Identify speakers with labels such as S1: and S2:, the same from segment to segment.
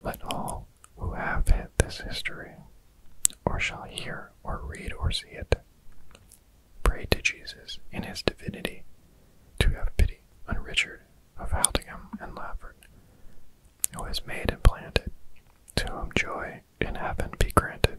S1: Let all who have had this history, or shall hear or read or see it, pray to Jesus in his divinity to have pity on Richard of Haldingham and Lafford, who was made and planted, to whom joy in heaven be granted.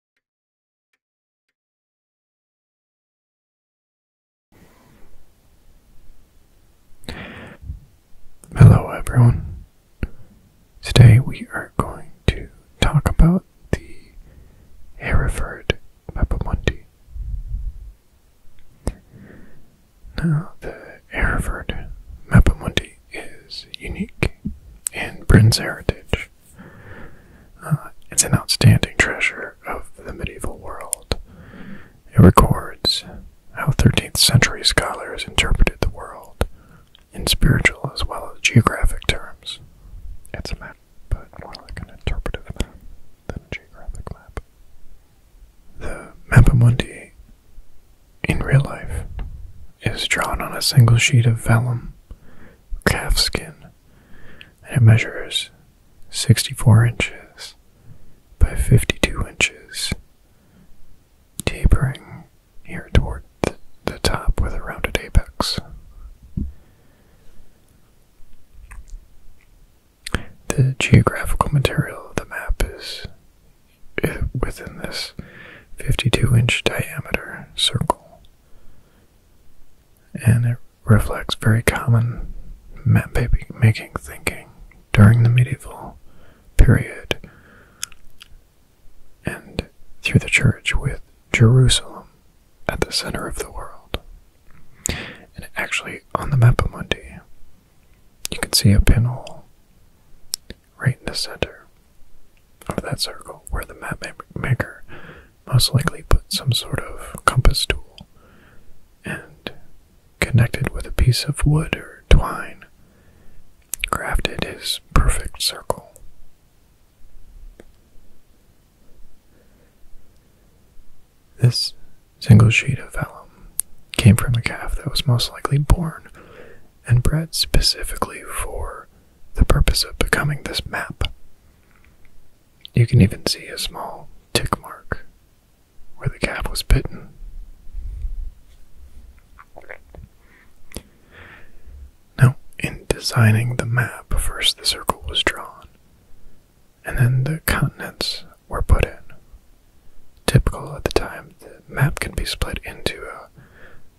S1: Hello, everyone. Today we are going to talk about the Hereford Mapamundi. Now, the Hereford Mapamundi is unique in Britain's heritage. Uh, it's an outstanding treasure of the medieval world. It records how 13th century scholars interpreted the world in spiritual as well as geographic terms. It's a map, but more like an interpretive map than a geographic map. The Mappa Mundi in real life is drawn on a single sheet of vellum, calf skin, and it measures 64 inches by 52 inches, tapering here toward the top with a rounded apex. The geographical material of the map is within this 52 inch diameter circle, and it reflects very common map-making thinking during the medieval period and through the church with Jerusalem at the center of the world. And actually, on the Map of Mundi, you can see a pinhole right in the center of that circle where the map maker most likely put some sort of compass tool and connected with a piece of wood or twine, crafted his perfect circle. This single sheet of vellum came from a calf that was most likely born and bred specifically for the purpose of becoming this map. You can even see a small tick mark where the calf was bitten. Now, in designing the map, first the circle was drawn, and then the continents were put in. Typical at the time, the map can be split into a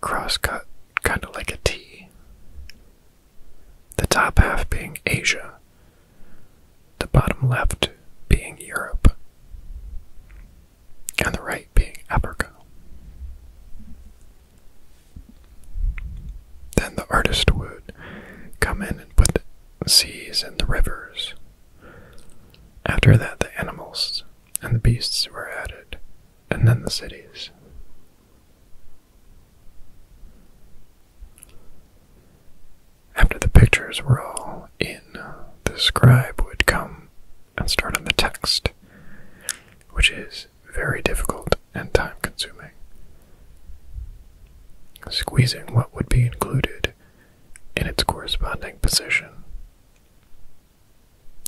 S1: crosscut, kind of like a T the top half being Asia, the bottom left being Europe, and the right being Africa. Then the artist would come in and put the seas and the rivers. After that, the animals and the beasts were added, and then the cities, after the pictures were all in, the scribe would come and start on the text, which is very difficult and time consuming. Squeezing what would be included in its corresponding position.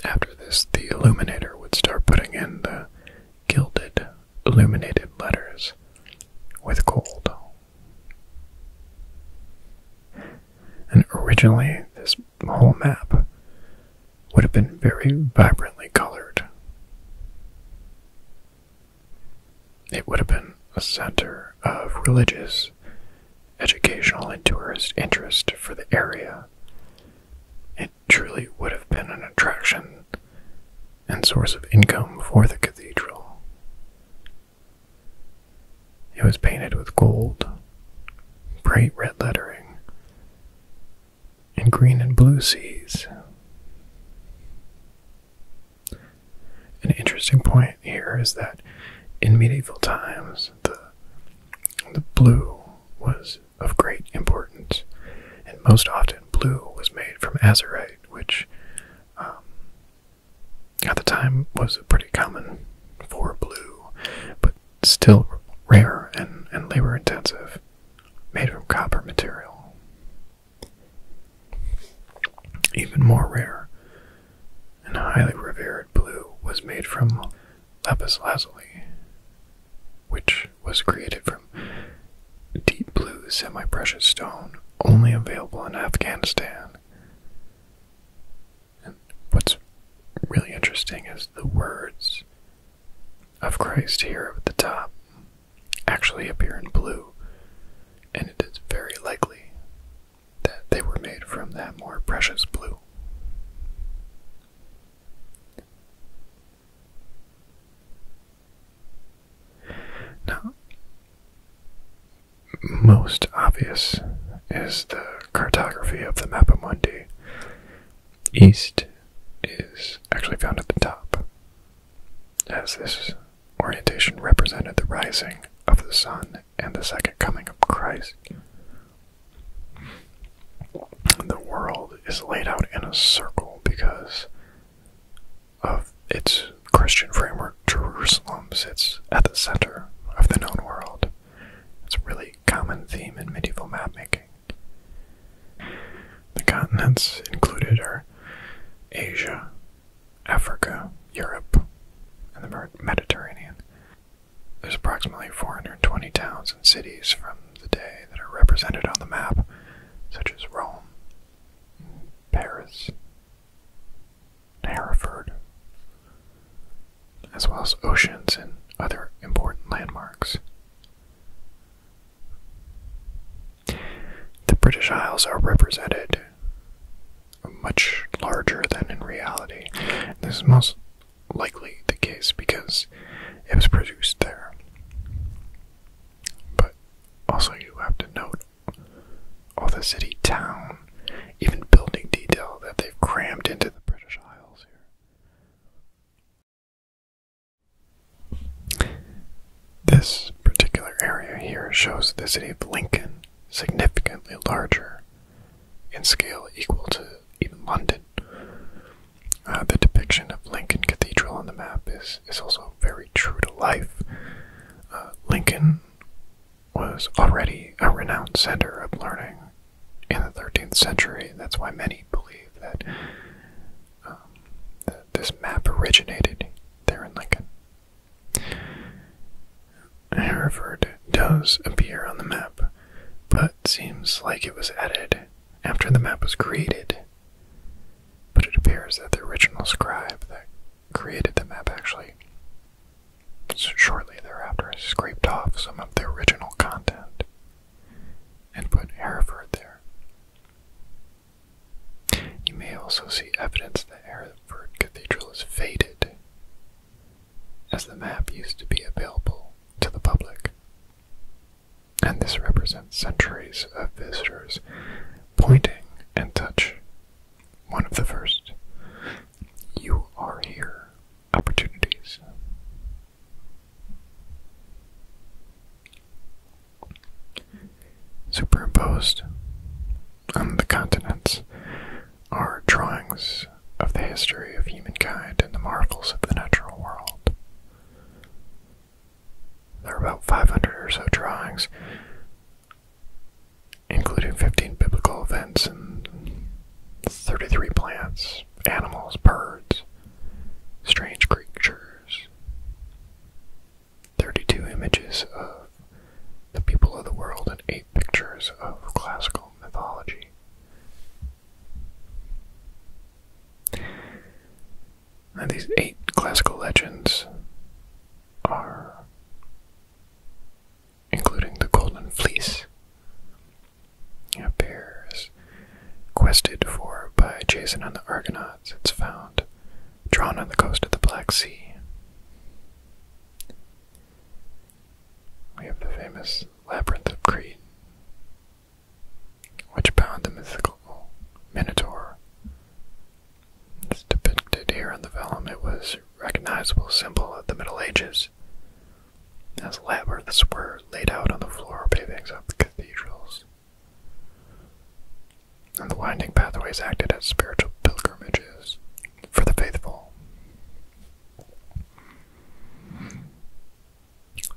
S1: After this, the illuminator would start putting in the gilded, illuminated letters with gold. And originally, this whole map would have been very vibrantly colored. It would have been a center of religious, educational, and tourist interest for the area truly would have been an attraction and source of income for the cathedral. It was painted with gold, bright red lettering, and green and blue seas. An interesting point here is that in medieval times the the blue was of great importance, and most often blue was made from azurite, which um, at the time was pretty common for blue, but still rare and, and labor intensive, made from copper material. Even more rare and highly revered blue was made from lapis lazuli, which was created from deep blue semi precious stone only available in Afghanistan. And what's really interesting is the words of Christ here at the top actually appear in blue, and it is very likely that they were made from that more precious blue. Now, most obvious is the cartography of the Mundi. East is actually found at the top, as this orientation represented the rising of the sun and the second coming of Christ the world is laid out in a circle because of its Christian framework. Jerusalem sits at the center of the known world. It's a really common theme in medieval map making. The continents included are Asia, Africa, Europe, and the Mediterranean. There's approximately 420 towns and cities from the day that are represented on the map, such as Rome, Paris, Hereford, as well as oceans and other important landmarks. The British Isles are represented much larger than in reality. This is most likely the case because it was produced there. But also, you have to note all the city, town, even building detail that they've crammed into the British Isles here. This particular area here shows the city of Lincoln significantly larger in scale equal to even London uh, the depiction of Lincoln Cathedral on the map is, is also very true to life. Uh, Lincoln was already a renowned center of learning in the 13th century. That's why many believe that, um, that this map originated there in Lincoln. Hereford does appear on the map, but cut seems like it was added after the map was created, but it appears that the original scribe that created the map actually shortly thereafter scraped off some of the original content and put Hereford there. You may also see evidence that Hereford Cathedral is faded as the map used to be available to the public. And this represents centuries of visitors pointing and touch. One of the first. You are here. Opportunities. Superimposed on the continents are drawings of the history of humankind and the marvels of the natural world. There are about 500 or so drawings, including 15 biblical events and 33 plants, animals, birds, strange creatures, 32 images of the people of the world, and 8 pictures of classical mythology. Now, these eight classical legends are including the Golden Fleece. Appears quested for by Jason and the Argonauts. It's found drawn on the coast of the Black Sea. We have the famous Labyrinth of Crete, which bound the mythical Minotaur. depicted here on the vellum, it was a recognizable symbol of the Middle Ages, as labyrinths were laid out on the floor pavings of the cathedrals. And the winding pathways acted as spiritual pilgrimages for the faithful.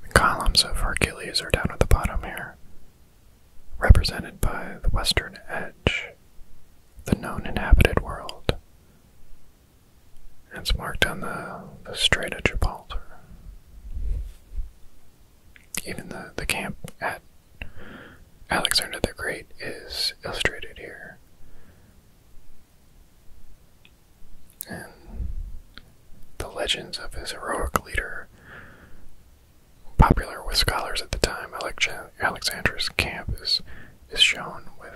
S1: The columns of Hercules are down at the bottom here, represented by the western edge, the known inhabited world. It's marked on the, the Strait of Gibraltar. Even the, the camp at Alexander the Great is illustrated here the legends of his heroic leader, popular with scholars at the time, Alexander's camp is, is shown with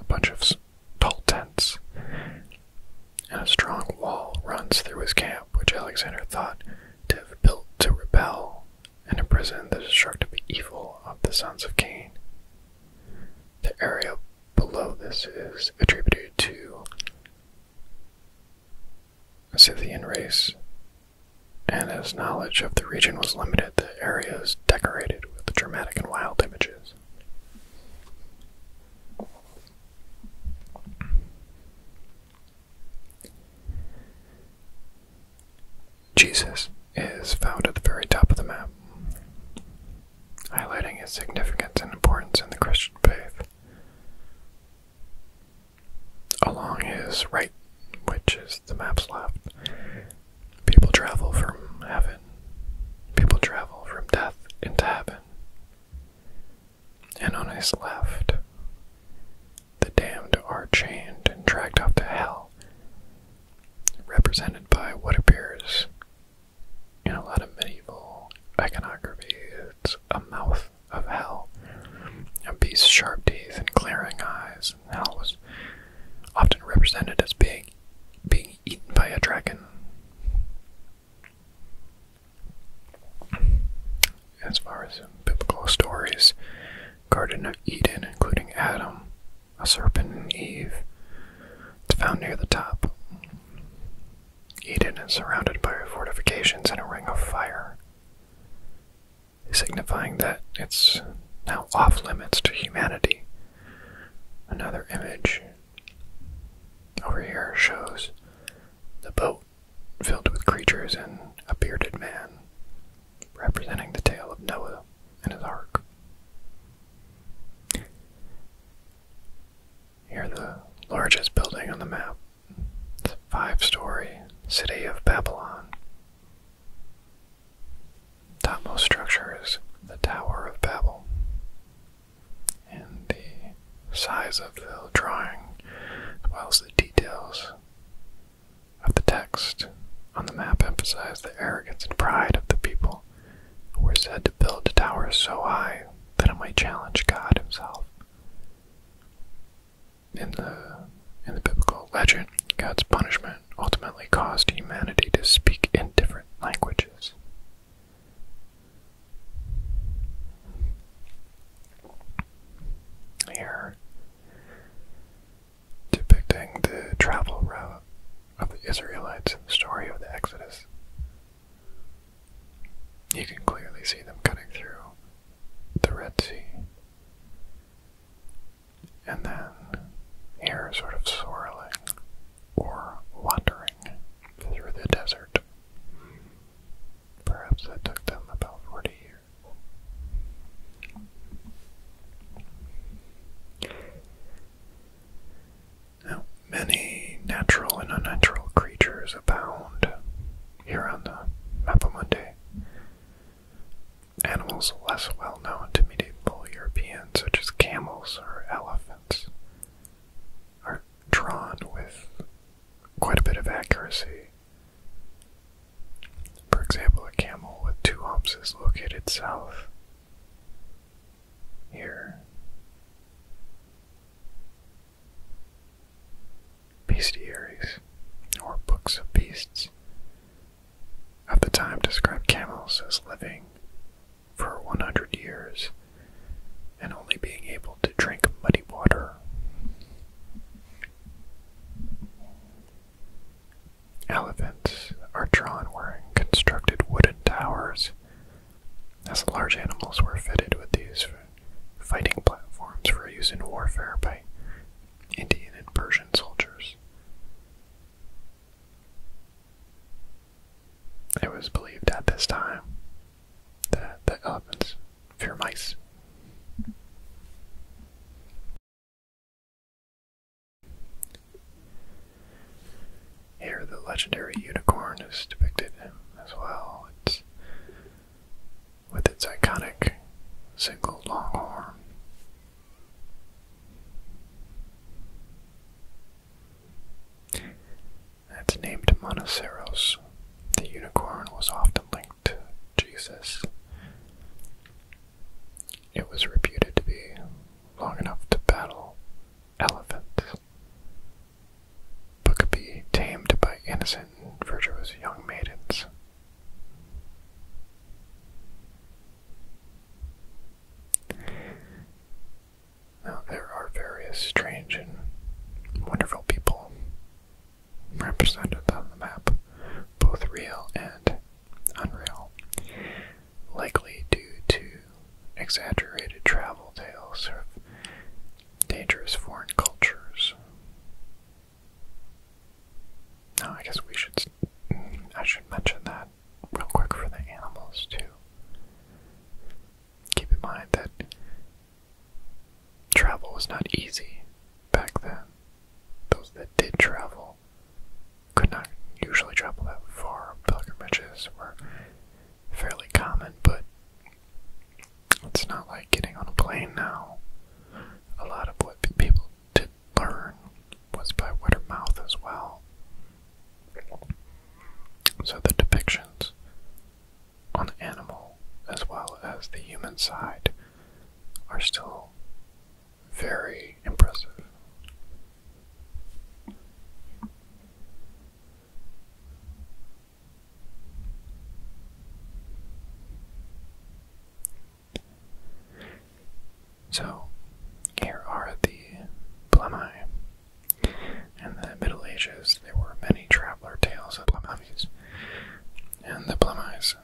S1: a bunch of tall tents, and a strong wall runs through his camp, which Alexander thought to have built to repel and imprison the destructive evil of the sons of Cain. The area below this is attributed to a Scythian race, and as knowledge of the region was limited, the area is decorated with dramatic and wild images. Jesus is found at the very top of the map highlighting its significance and importance in the Christian faith. Along his right, which is the map's left, people travel from heaven, people travel from death into heaven. And on his left, the damned are chained and dragged off to hell, represented by what appears you a lot of medieval iconography. It's a mouth of hell, a beast's sharp teeth and glaring eyes. And hell was often represented as being being eaten by a dragon. As far as biblical stories, Garden of Eden, including Adam, a serpent and Eve. It's found near the top. Eden is surrounded by fortifications and a ring of fire, signifying that it's now off limits to humanity. Another image over here shows the boat filled with creatures and a bearded man, representing the tale of Noah and his ark. Here, the largest building on the map, the five story city of Babylon. Topmost structure is the Tower of Babel, and the size of the drawing, as the details of the text on the map, emphasize the arrogance and pride of the people were said to build towers so high that it might challenge God himself. In the in the biblical legend, God's punishment ultimately caused humanity to speak in different languages. Here depicting the travel route of the Israelites the story of the Exodus. You can clearly see them cutting through the Red Sea. And then here, sort of swirling or wandering through the desert. Perhaps that took them about 40 years many natural and unnatural creatures abound here on the Map of Mapamundi. Animals less well known to medieval Europeans, such as camels or elephants, are drawn with quite a bit of accuracy. For example, a camel with two humps is located south here. Bestiaries, or books of beasts, of the time described camels as living for 100 years and only being able to drink muddy water. Elephants are drawn wearing constructed wooden towers, as large animals were fitted with these fighting platforms for use in warfare by Indian and Persian soldiers. It was believed at this time that the elephants fear mice. Here, the legendary unicorn is depicted as well. It's with its iconic single long horn. It's named Monoceros. The unicorn was often linked to Jesus, it was reputed to be long enough to battle elephants, but could be tamed by innocent and virtuous young maidens. Now, there are various strange and wonderful people represented on the map, both real and unreal likely due to exaggerated travel tales of dangerous foreign cultures. No, I guess we should. I should mention that real quick for the animals too. Keep in mind that travel was not easy back then. Those that did travel travel. Could not usually travel that far. Pilgrimages were fairly common, but it's not like getting on a plane now. A lot of what people did learn was by word of mouth as well. So the depictions on the animal as well as the human side are still very impressive. So, here are the Blemi. In the Middle Ages, there were many traveler tales of Blemis, and the Blemis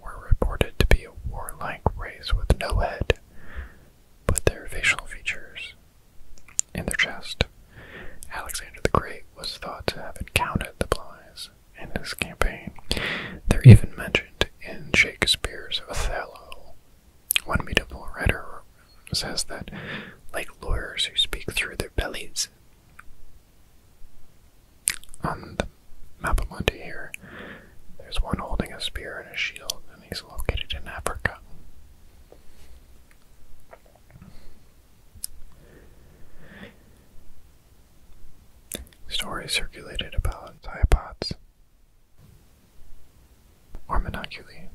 S1: were reported to be a warlike race with no head, but their facial features in their chest. Alexander the Great was thought to have encountered the Blyes in his campaign. They're even mentioned in Shakespeare's Othello. One medieval writer says that, like lawyers who speak through their bellies, on the map here, there's one holding a spear and a shield, and he's located in Africa. Stories circulated about Zyopods or monoculi.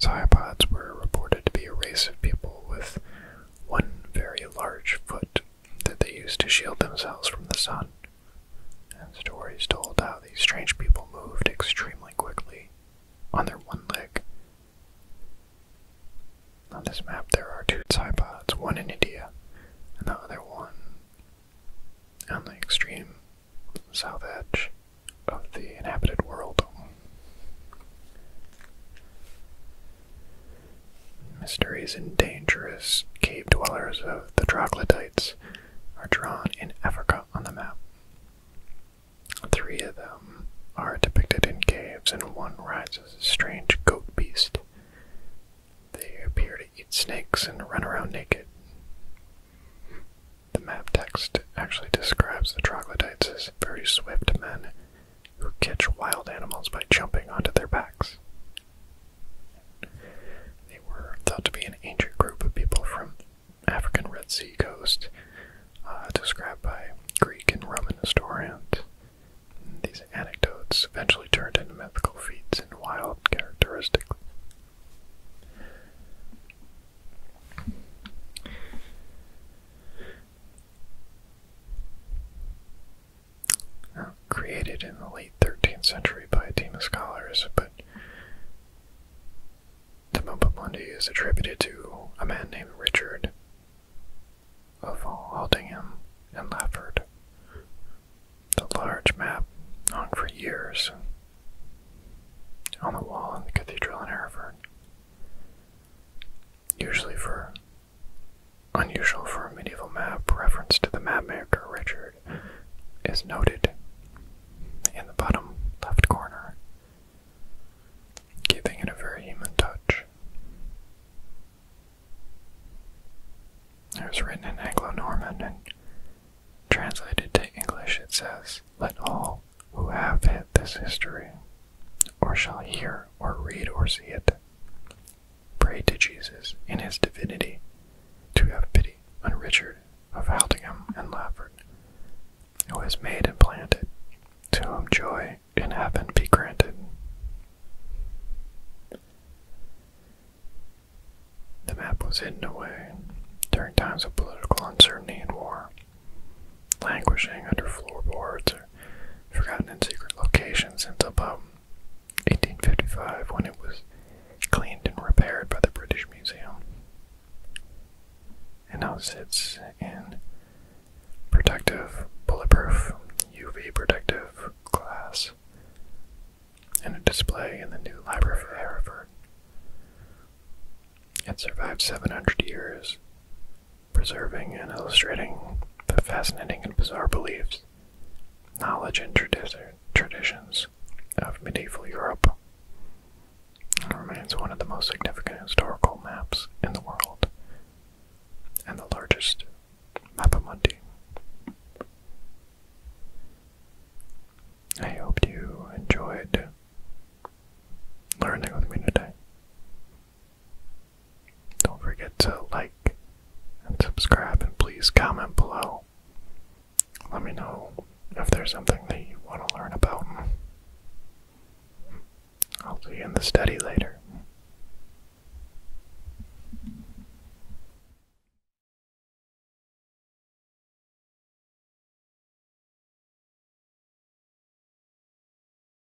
S1: Zyopods were reported to be a race of people with one very large foot that they used to shield themselves from the sun, and stories told how these strange people moved extremely quickly on their one leg. On this map, there are two Tsai one in India and the other one on the extreme south edge of the inhabited world. Mysteries and dangerous cave dwellers of the troglodytes are drawn in Africa on the map. Three of them are depicted in caves, and one rides a strange goat beast. They appear to eat snakes and run around naked. The map text actually describes the troglodytes as very swift men who catch wild animals by jumping onto their backs. They were thought to be an ancient group of people from African Red Sea coast, uh, described by Greek and Roman historians. These anecdotes eventually turned into mythical feats and wild characteristics created in the late 13th century by a team of scholars, but the map of Mopaplundi is attributed to a man named Richard of Aldingham and Lafford. The large map hung for years on the wall in the cathedral in Hereford, usually for unusual for a medieval map, reference to the mapmaker Richard is noted in the bottom left corner, giving it a very human touch. It was written in Anglo Norman and translated to English, it says, Let all who have it this history, or shall hear, or read, or see it, Pray to Jesus in his divinity to have pity on Richard of Haltingham and Lafford, who has made and planted, to whom joy in heaven be granted. The map was hidden away during times of political uncertainty and war, languishing under floorboards forgotten in secret locations since about 1855 when it was cleaned and repaired by the British Museum. And now sits in protective, bulletproof, UV protective glass and a display in the new Library of Harvard. It survived 700 years preserving and illustrating the fascinating and bizarre beliefs, knowledge, and traditions of medieval Europe. It remains one of the most significant historical maps in the world and the largest mapamundi. I hope you enjoyed learning with me today. Don't forget to like and subscribe, and please comment below. Let me know if there's something that you want to learn about. I'll see you in the study later.